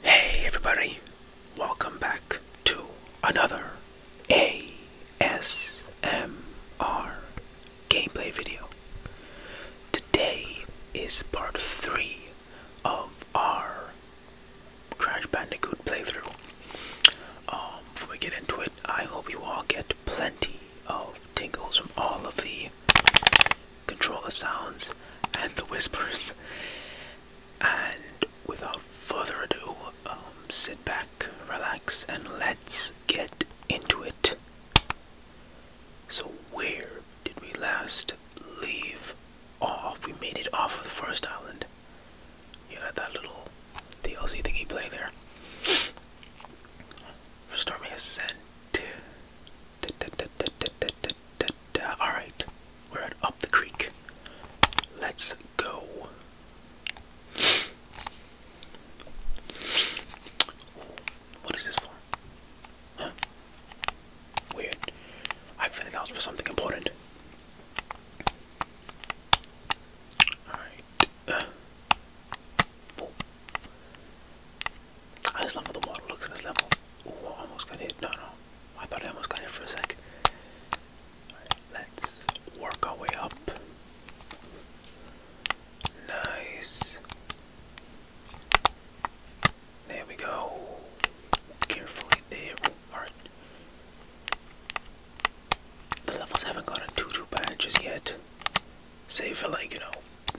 Hey everybody, welcome back to another ASMR gameplay video. Today is part 3 of our Crash Bandicoot playthrough. Um, before we get into it, I hope you all get plenty of tingles from all of the control the sounds and the whispers. And without further ado, um, sit back, relax, and let's get into it. So, where did we last leave off? We made it off of the first island. You had that little DLC thingy play there. Stormy Ascent. Alright, we're at Up the Creek. Let's go. what is this for? Huh? Weird. I figured that was for something important. Alright. Uh, I ah, just love how the water looks in this level. Ooh, uh, I almost got hit. No, no. I thought I almost got hit for a 2nd let's work our way up. Nice. There we go. Carefully there. Alright. The levels haven't gotten too too bad just yet. Save for like, you know,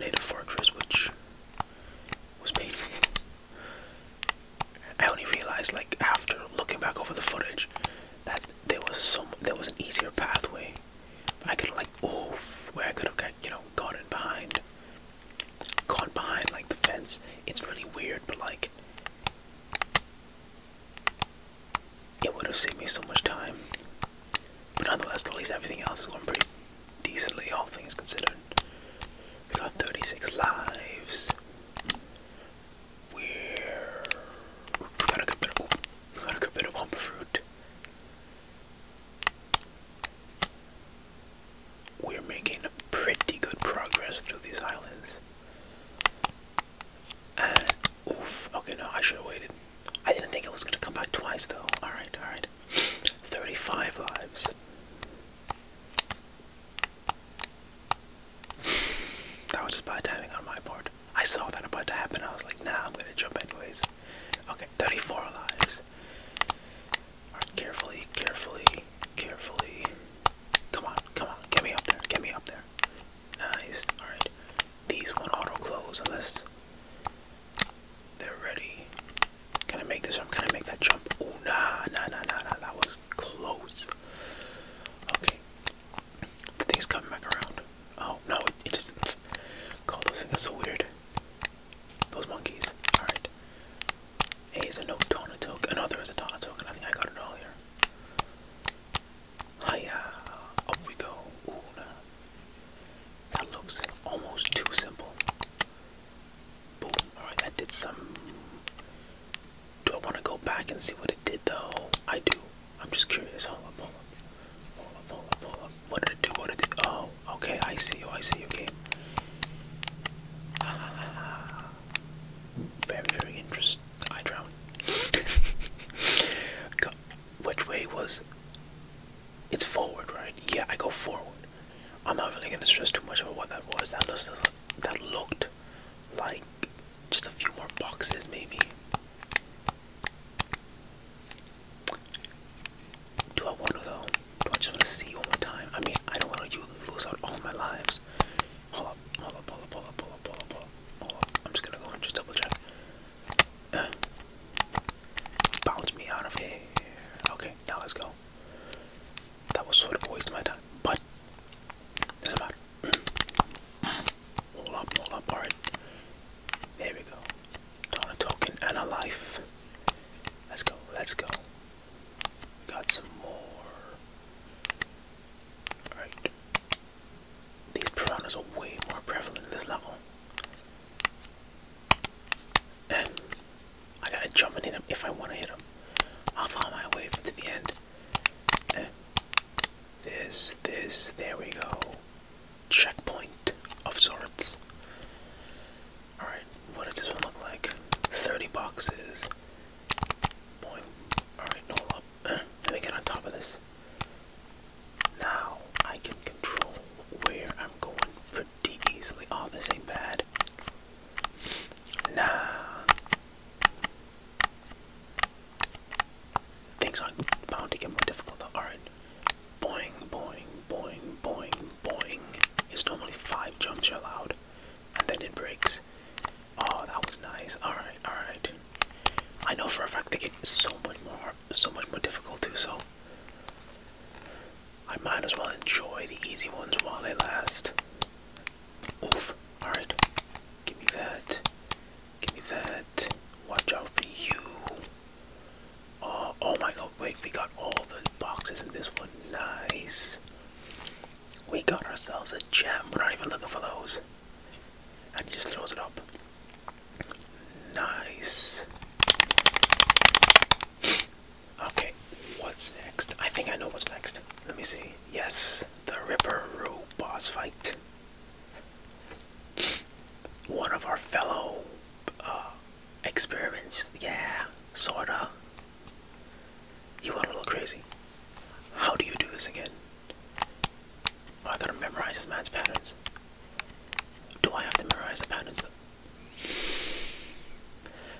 Native Fortress, which was painful. I only realized, like after looking back over the footage, that there was some there was an easier pathway. I could have, like oof, where I could have got you know gone in behind, gone behind like the fence. It's really weird, but like it would have saved me so much time. But nonetheless, at least everything else is going pretty decently, all things considered. We got 36 lives. We're got a good bit of got a good bit of humble We're making pretty good progress through these islands. And oof, okay, no, I should have waited. I didn't think it was gonna come back twice though. Alright, alright. 35 lives. That was just by timing on my board. I saw that about to happen. I was like, nah, I'm gonna jump anyways. Okay, 34 lives. carefully, carefully, carefully. Come on, come on, get me up there, get me up there. Nice, alright. These won't auto close unless they're ready. Can I make this jump? Can I make that jump? Oh, nah, nah, nah, nah, nah. That was close. Okay. The thing's coming back around. Oh, no, it, it isn't. God, those things are so weird. Those monkeys. Alright. Hey, is there no Donatoke? Oh, no, there is a Donatoke, and I think I got it all here. Hiya. Up we go. Ooh, nah. That looks almost too simple. Boom. Alright, that did some. Do I want to go back and see what it did though? I do. I'm just curious. Hold up, hold up. Hold up, hold up, What did it do? What did it Oh, okay. I see you. I see you, game. Ah, very, very interesting. I drowned. Which way was it's forward, right? Yeah, I go forward. I'm not really gonna stress too much about what that was. That looks that looked like just a few more boxes, maybe. Do I want to though? Do I just want to see one more time? I mean, I don't want to lose out all my lives. Hold up, hold up, hold up, hold up, hold up, hold up, hold up. I'm just gonna go and just double check. Uh, bounce me out of here. Okay, now let's go that was sort of a waste of my time. But doesn't matter. Hold up, hold up, alright. There we go. token and a life. Let's go, let's go. got some more. Alright. These piranhas are way more prevalent in this level. I gotta jump and hit if I wanna hit him. I'll find my way to the end. this, this, there we go. Checkpoint of sorts. Alright, what does this one look like? 30 boxes. Alright, hold up. let me get on top of this. Now I can control where I'm going easily. Oh, this ain't bad. Nah. Things are bound to get more difficult though. Alright. Boing, boing, boing, boing, boing. It's normally five jumps you're allowed. And then it breaks. Oh, that was nice. Alright, alright. I know for a fact they get so much more so much more difficult too, so I might as well enjoy the easy ones while they last. Oof. Alright. Give me that. Give me that. Watch out for you. Oh, oh, my god. Wait, we got all the boxes in this one. Nice. We got ourselves a gem. We're not even looking for those. And he just throws it up. Nice. Okay, what's next? I think I know what's next. Let me see. Yes, the Ripper Roo boss fight. One of our fellow uh, experiments. Yeah, sorta. You went a little crazy. How do you do this again? Oh, I gotta memorize this man's patterns. Do I have to memorize patterns?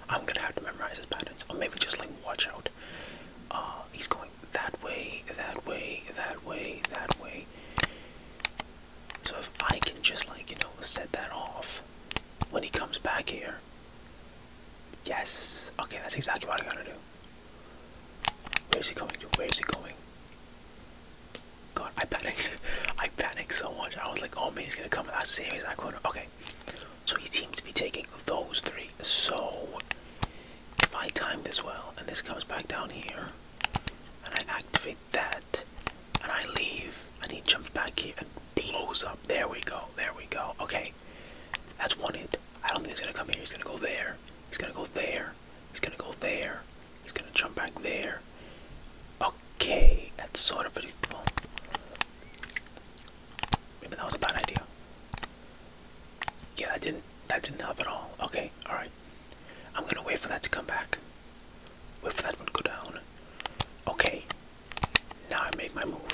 I'm gonna have to memorize his patterns, or maybe just like watch out. Uh, he's going that way, that way, that way, that way. So if I can just like you know set that off when he comes back here. Yes. Okay, that's exactly what I am going to do. Where is he going Where is he going? God, I panicked. I panicked so much. I was like, oh man, he's gonna come with that same exact corner. Okay. So he seems to be taking those three. So if I time this well and this comes back down here and I activate that and I leave and he jumps back here and blows up. There we go. There we go. Okay. That's one hit. I don't think he's gonna come here. He's gonna go there. He's gonna go there. He's gonna go there. He's gonna jump back there. Okay, that's sort of predictable. Maybe that was a bad idea. Yeah, that didn't that didn't help at all. Okay, alright. I'm gonna wait for that to come back. Wait for that one to go down. Okay. Now I make my move.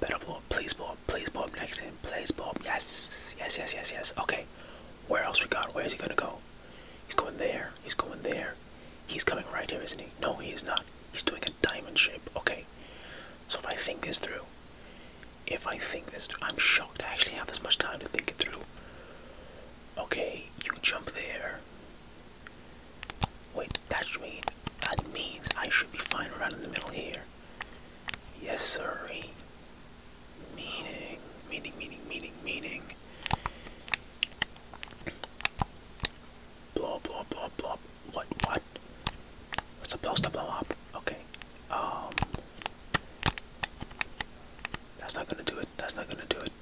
Better blow up, please blow please blow next in, please blow yes, yes, yes, yes, yes, okay. Where else we got? Where is he gonna go? He's going there, he's going there. He's coming right here, isn't he? No, he is not. He's doing a diamond shape. Okay. So if I think this through, if I think this I'm shocked I actually have this much time to think it through. Okay, you jump there. Wait, that should that means I should be fine around in the middle here. Yes, sir. Meaning, meaning, meaning, meaning, meaning. Blow, blow, blow, blow. What? What? It's supposed to blow up. Okay. Um. That's not gonna do it. That's not gonna do it.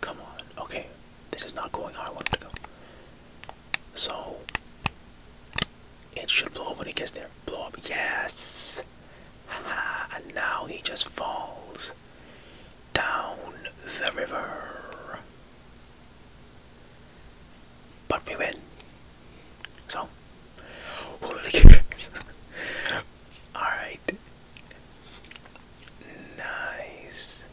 Come on. Okay. This is not going how I want it to go. So. It should blow up when it gets there. Blow up. Yes. and now he just falls down the river. But we win. So, who really Alright. Nice.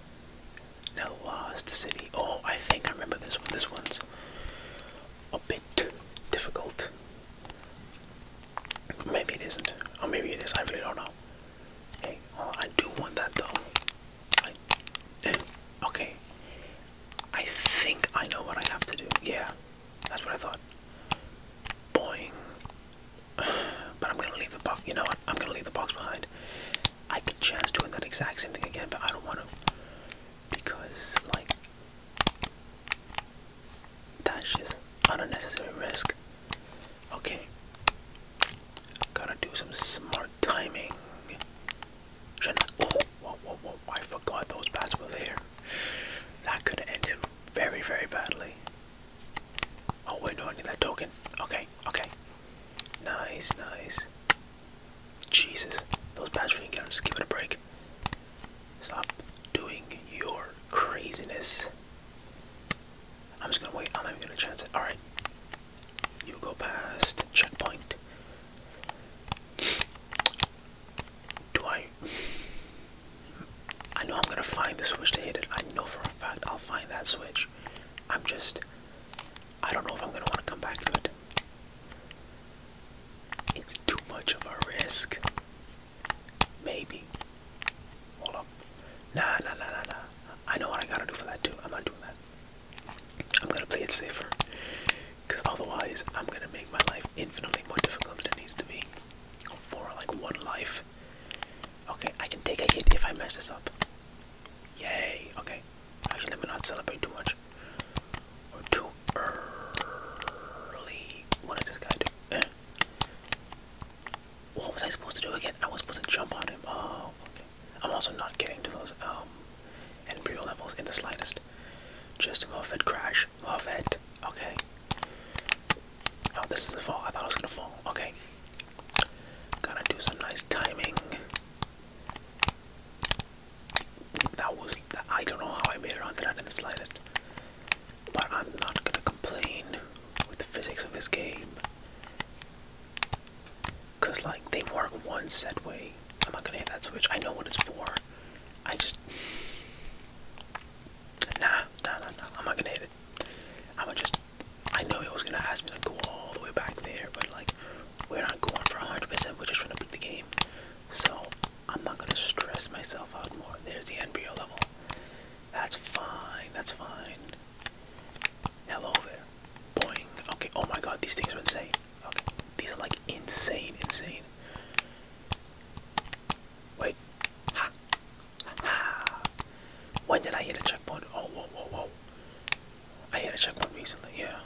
Now, Lost City. Oh, I think I remember this one. This one's a bit difficult. Maybe it isn't. Or maybe it is. I really don't know. Hey, uh, I do want that though. Eh, okay. I think I know what I have to do. Yeah, that's what I thought. Boing. But I'm gonna leave the box. You know what? I'm gonna leave the box behind. I could chance do that exact same thing again, but I don't want to because, like, that's just unnecessary risk. Okay. Gotta do some smart timing. I, oh, I forgot those bats were there. That could have ended very, very badly. Oh wait, no, I need that token. Okay, okay. Nice, nice. Jesus, those bats didn't get them. Just give it a break. Stop doing your craziness. I'm just gonna wait. I'm not even gonna chance it. All right, you go past the checkpoint. Do I? I know I'm gonna find the switch to hit it. I know for a fact I'll find that switch. I'm just. I don't know if I'm gonna want to come back to it. It's too much of a risk. Maybe. Hold up. Nah, nah, nah, nah, nah. I know what I gotta do for that too. I'm not doing that. I'm gonna play it safer. Because otherwise, I'm gonna make my life infinitely more difficult than it needs to be. For like one life. Okay, I can take a hit if I mess this up. Yay. Okay. Actually, let me not celebrate too much. Or too early. What does this guy do? what was I supposed to do again? I was supposed to jump on him. Oh, okay. I'm also not getting to those um Embryo levels in the slightest. Just love it, crash, love it. Okay. Oh, this is a fall. I thought I was gonna fall. Okay. Gotta do some nice timing. That was. I don't know how I made it onto that in the slightest but I'm not gonna complain with the physics of this game. Cause like they work one set way. I'm not gonna hit that switch. I know what it's for. I just Nah, nah, nah, nah. I'm not gonna hit it. i am just I know it was gonna ask me to go all the way back there, but like we're not going for 100%. We're just trying to beat the game. So I'm not gonna stress myself out more. There's the embryo level. That's fine. That's fine. Hello there. Boing. Okay. Oh my god, these things are insane. Okay. These are like insane, insane. Wait. Ha. Ha. When did I hit a checkpoint? Oh, whoa, whoa, whoa. I hit a checkpoint recently, yeah.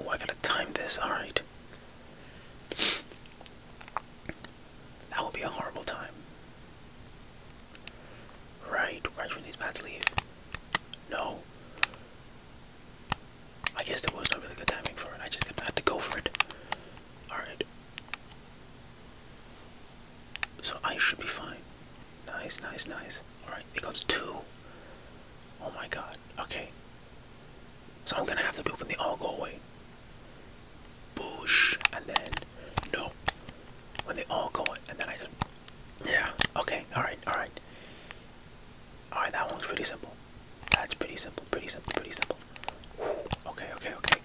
Oh, I gotta time this. Alright. That will be a horrible time. Right, right when these bats leave. No. I guess there was no really good timing for it. I just had to go for it. Alright. So I should be fine. Nice, nice, nice. Alright, it goes two. Oh my god. Okay. So I'm gonna have to do it when they all go away. Bush And then, no. When they all go in. And then I just. Yeah. Okay. Alright. Alright. Alright, that one's pretty simple. That's pretty simple. Pretty simple. Pretty simple. Okay. Okay. Okay.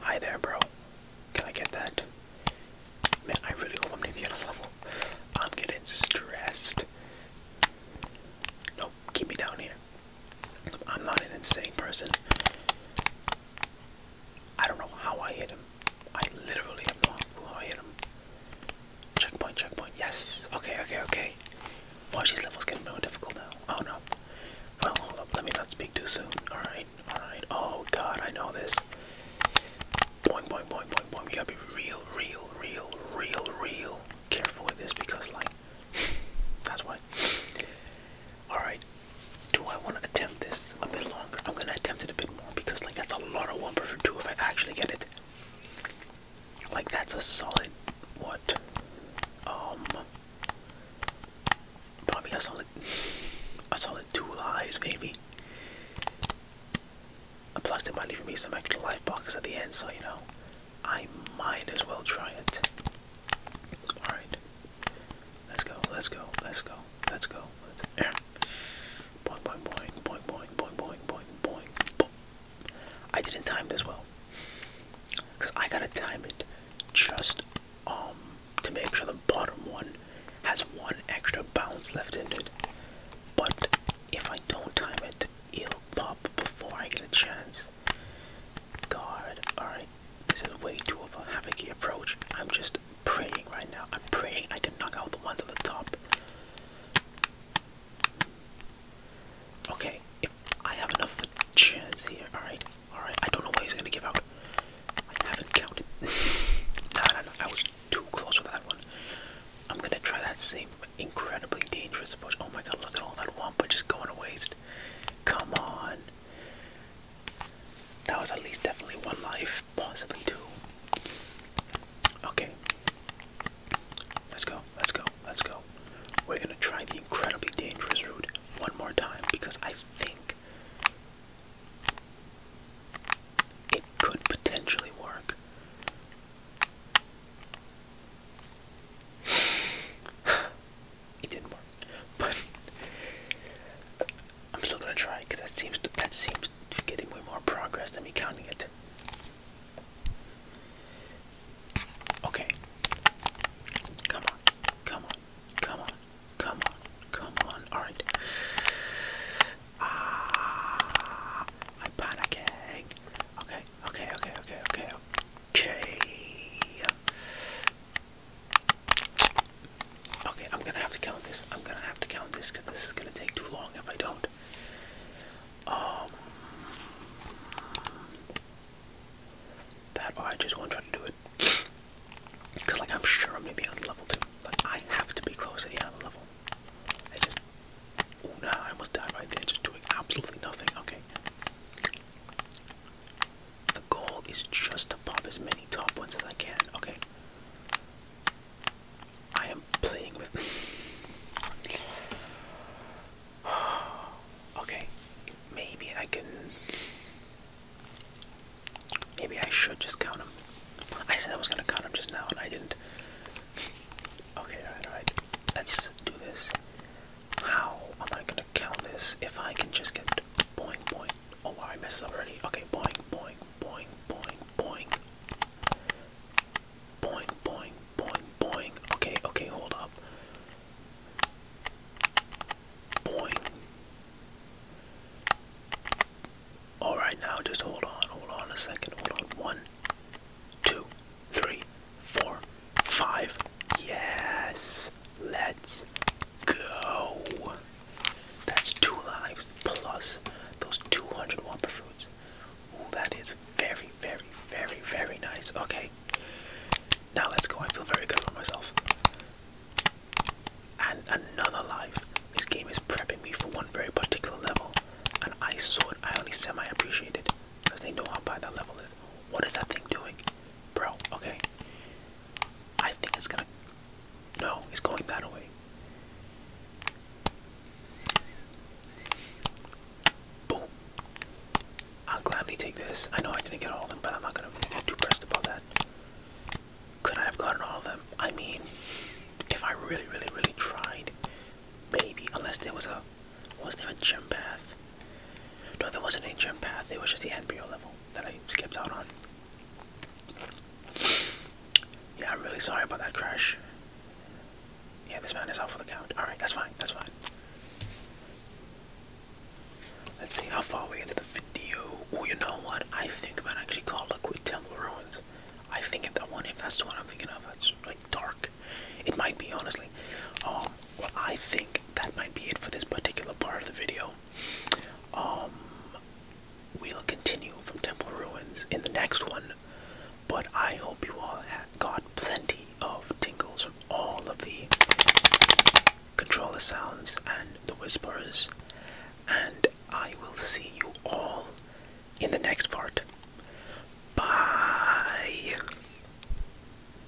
Hi there, bro. Can I get that? Man, I really hope I'm gonna level. I'm getting stressed. Nope, keep me down here. I'm not an insane person. I don't know how I hit him. I literally have not clue how I hit him. Checkpoint, checkpoint. Yes. Okay, okay, okay. Watch these levels getting more difficult now. Oh no. Well, hold up. Let me not speak too soon. Alright, alright. Oh god, I know this. Boing, You gotta be real, real, real, real, real careful with this because, like, That's why. Alright. Do I want to attempt this a bit longer? I'm gonna attempt it a bit more because like that's a lot of one for two if I actually get it. Like that's a solid what? Um probably a solid a solid two lies maybe. Plus there might even be some extra life boxes at the end, so you know, I might as well try it. Alright. Let's go, let's go, let's go, let's go. let I didn't time this well. Because I gotta time it just um to make sure the bottom one has one extra bounce left in it. But if I don't time it, it'll pop before I get a chance God, Alright, this is way too of a havocy approach. I'm just praying right now. I'm praying I can knock out the ones at the top. Okay, if I have enough chance here, alright, alright, I don't know why he's gonna give out. I haven't counted. no, no, no, I was too close with that one. I'm gonna try that same incredibly dangerous approach. Oh my god, look at all that wampa just going to waste. Come on. That was at least definitely one life, possibly two. Okay. Let's go, let's go, let's go. We're gonna try the incredibly dangerous route one more time because I think it could potentially work it didn't work. But I'm still gonna try because that seems to, that seems to be getting way more progress than me counting it. Okay. Come on. Come on. Come on. Come on. Come on. All right. Ah, I'm panicking. Okay. Okay. Okay. Okay. Okay. Okay. Okay, I'm gonna have to count this. I'm gonna have to count this because this is gonna take too long if I don't. Um, that oh, I just won't try to do it. Because, like, I'm sure I'm gonna be on level 2. Like, I have to be close to the other level. I just. Oh, nah, I almost died right there, just doing absolutely nothing. Okay. The goal is just to pop as many top ones as I can. Okay. I am playing with. okay. Maybe I can. Maybe I should just count them. I said I was gonna count them just now, and I didn't. Okay, alright, Let's do this. How am I gonna count this if I can just get boing boing. Oh I messed up already. Okay, boing boing boing boing boing. Boing boing boing boing. Okay, okay, hold up. Boing. Alright now just hold on, hold on a second, hold on. One, two, three four, five. Yes. Let's go. That's two lives plus those 200 Wampa fruits. Ooh, that is very, very, very, very nice. Okay. Now let's go. I feel very good about myself. And another life. This game is prepping me for one very particular level. and I saw it. I only semi appreciate it. Because they know how bad that level is. What is that thing doing? Bro, okay. I think it's gonna. No, it's going that way. Boom. I'll gladly take this. I know I didn't get all of them, but I'm not gonna get too pressed about that. Could I have gotten all of them? I mean, if I really, really, really tried, maybe. Unless there was a, was there a gym path? No, there wasn't any gym path, it was just the NPO level that I skipped out on. Yeah, I'm really sorry about that crash. Yeah, this man is out for the count. Alright, that's fine, that's fine. Let's see how far we get into the video. Oh, you know what? I think man, I actually call it Quit Temple Ruins. I think if that one, if that's the one I'm thinking of, that's like dark. It might be honestly. Um, well, I think that might be it for this particular part of the video. Um, we'll continue from Temple Ruins in the next one, but I hope you all got plenty of tingles from all of the controller sounds and the whispers, and I will see you all in the next part. Bye!